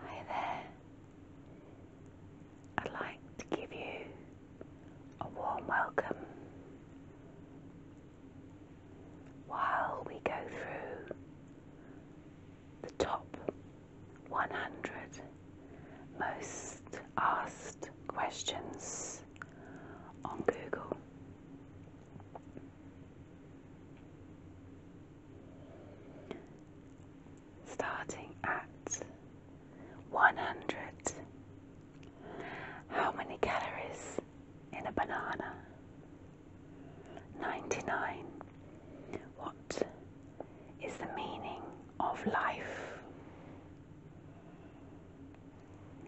Hi there. I'd like to give you a warm welcome while we go through the top 100 most asked questions on Google. Starting at 100. How many calories in a banana? 99. What is the meaning of life?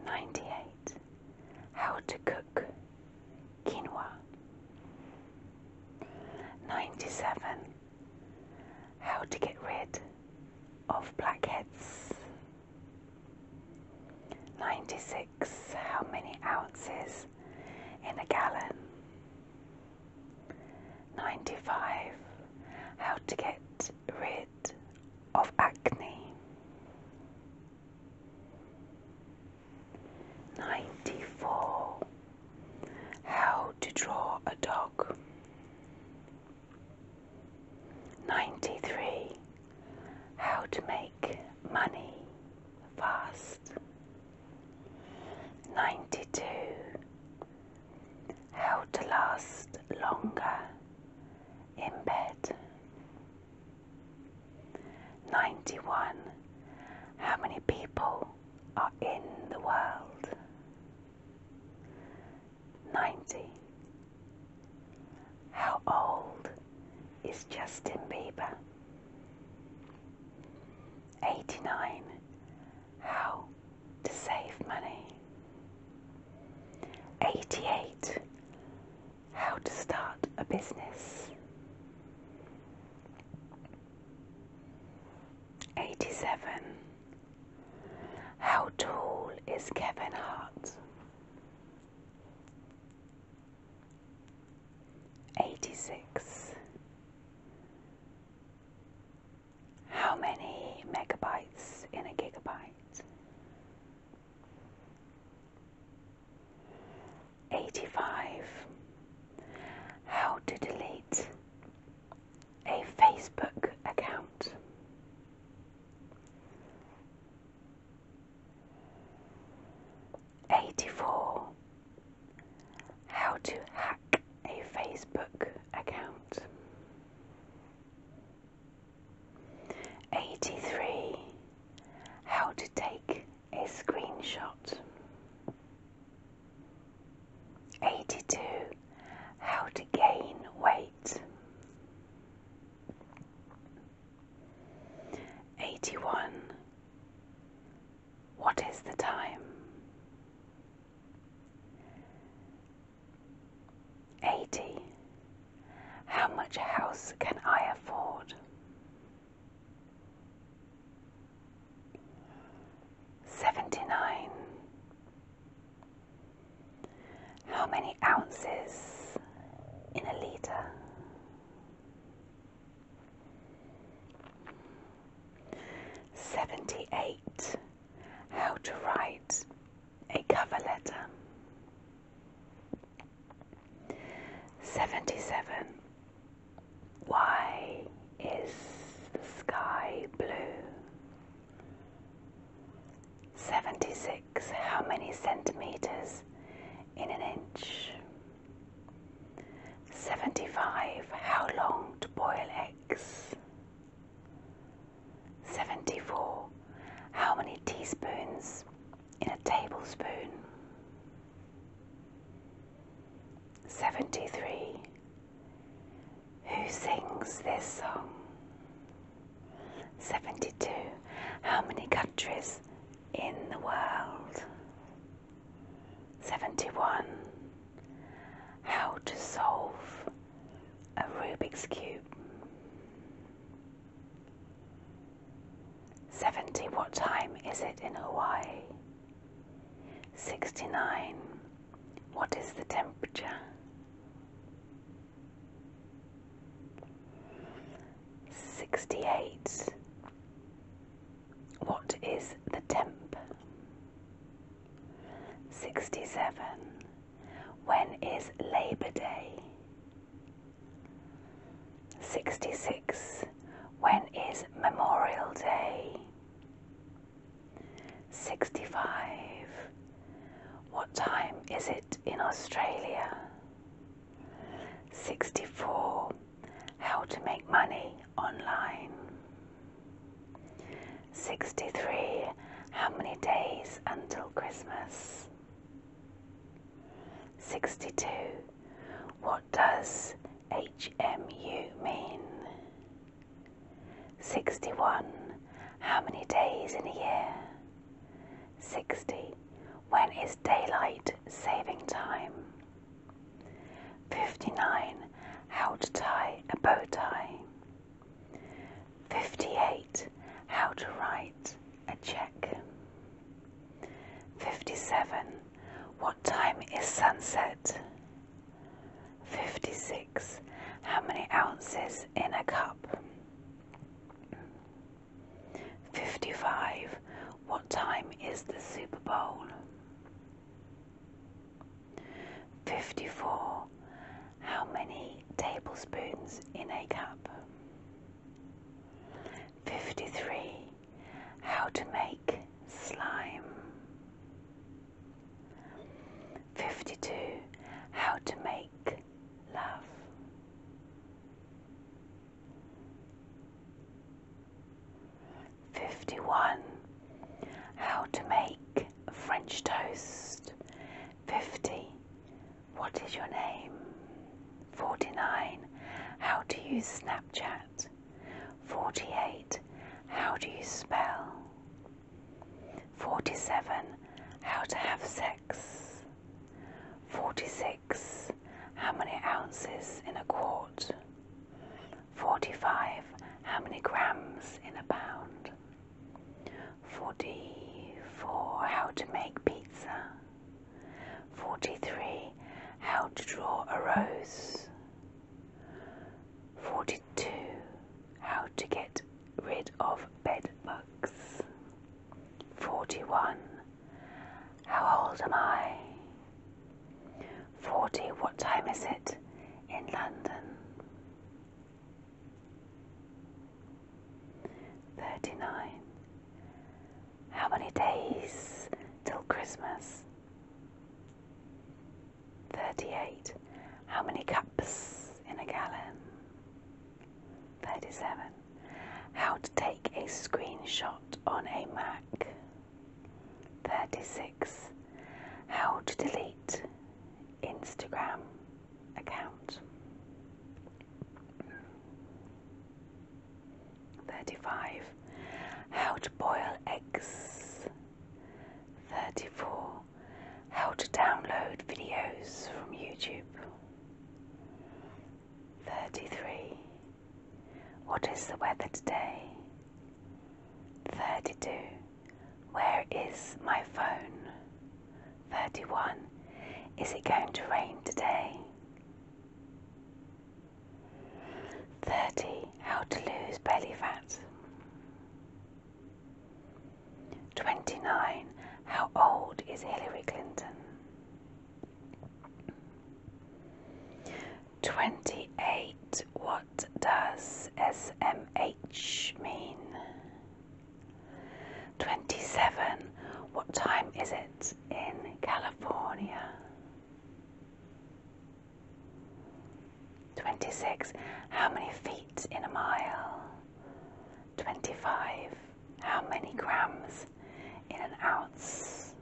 98. How to cook quinoa. 97. How to get rid of blackheads. 96. How many ounces in a gallon? 95. How to get rid of acne. 94. How to draw a dog. 93. How to make money fast. 92. How to last longer in bed. 91. How many people are in the world? 90. How old is Justin Bieber? 89. How to save money. 88. How to start a business. 87. How tall is Kevin Hart? 86 how many megabytes in a gigabyte? 85. How to delete a Facebook account. Eighty-four. How to hack a Facebook account. 83. How to take a screenshot. 82. How to gain weight. 81. What is the time? 80. How much house can I afford? 79. How many ounces in a litre? Seventy eight. How to write a cover letter. 77. Why is the sky blue? 76. How many centimeters in an inch? 75. How long to boil eggs? 74. How many teaspoons in a tablespoon? 73. Who sings this song? 72. How many countries in the world? 71. How to solve a Rubik's Cube. 70. What time is it in Hawaii? 69. What is the temperature? 68. What is the temp? 67. When is Labor Day? 66. When is Memorial Day? 65. What time is it in Australia? 64. How to make money online. 63. How many days until Christmas? 62. What does HMU mean? 61. How many days in a year? 60. When is daylight saving time? 59. How to tie a bow tie. 58. How to write a check. 57. What time is sunset? 56. How many ounces in a cup? 55. What time is the Super Bowl? 54. How many tablespoons in a cup? 53. How to make slime. 52. How to make love. 51. How to make French toast. 50. What is your name? 49. How to use Snapchat. 48. How do you spell? 47. How to have sex. 46. How many ounces in a quart? 45. How many grams in a pound? 44. How to make pizza? 43. How to draw a rose? 42. How to get rid of bed bugs? 41. How old am I? 40. What time is it in London? 39. How many days till Christmas? 38. How many cups in a gallon? 37. How to take a screenshot on a Mac? 36. How to delete Instagram account. 35. How to boil eggs. 34. How to download videos from YouTube. 33. What is the weather today? 32. Where is my phone? 31. Is it going to rain today? 30. How to lose belly fat. 29. How old is Hillary Clinton? 28. What does SMH mean? 27. What time is it in California? 26. How many feet in a mile? 25. How many grams in an ounce?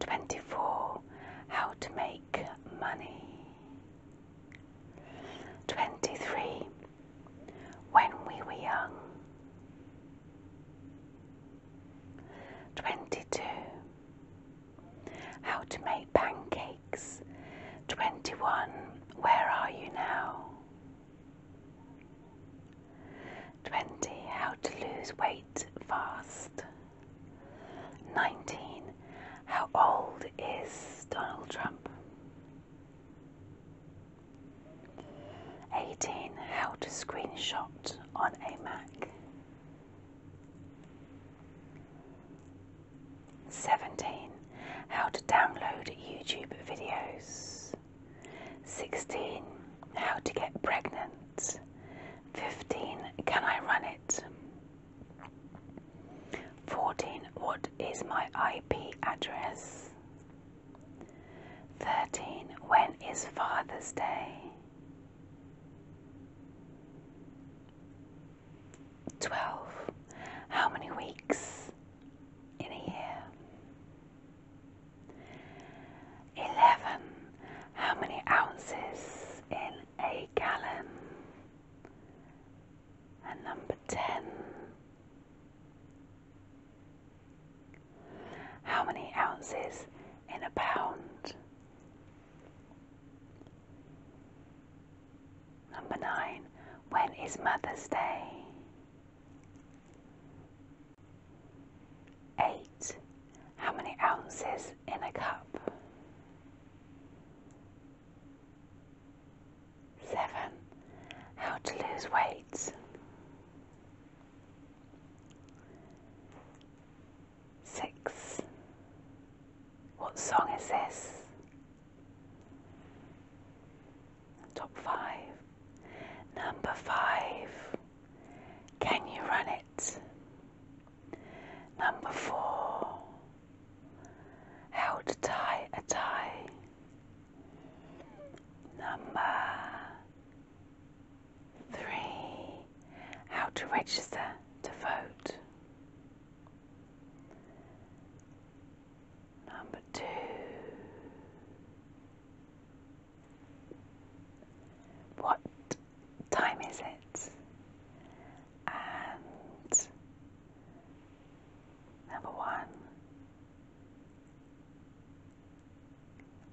24. How to make money. 23. When we were young. 22. How to make pancakes. 21. Where are you now? 20. How to lose weight fast. 19. How old is Donald Trump? 18. How to screenshot on a Mac. 17. How to download YouTube videos. 16. How to get pregnant. 15. Can I run it? 14. What is my IP address? 13. When is Father's Day? 12. How many weeks in a year? 11. How many ounces in a gallon? And number 10. How many ounces in a pound? Number 9. When is Mother's Day? Eight. How many ounces in a cup? Seven. How to lose weight? Six. What song is this? Top five. Number five, can you run it? Number four, how to tie a tie. Number three, how to register to vote. Number two, what time is it? And number one,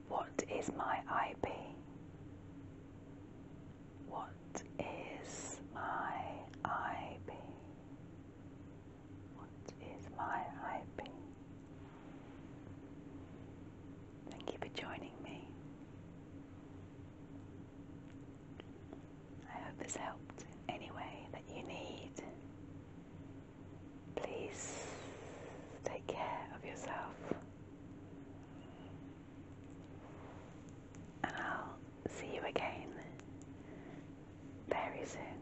what is my IP? What is my IP? What is my IB? Thank you for joining me. I hope this helped in any way that you need. Please take care of yourself. And I'll see you again very soon.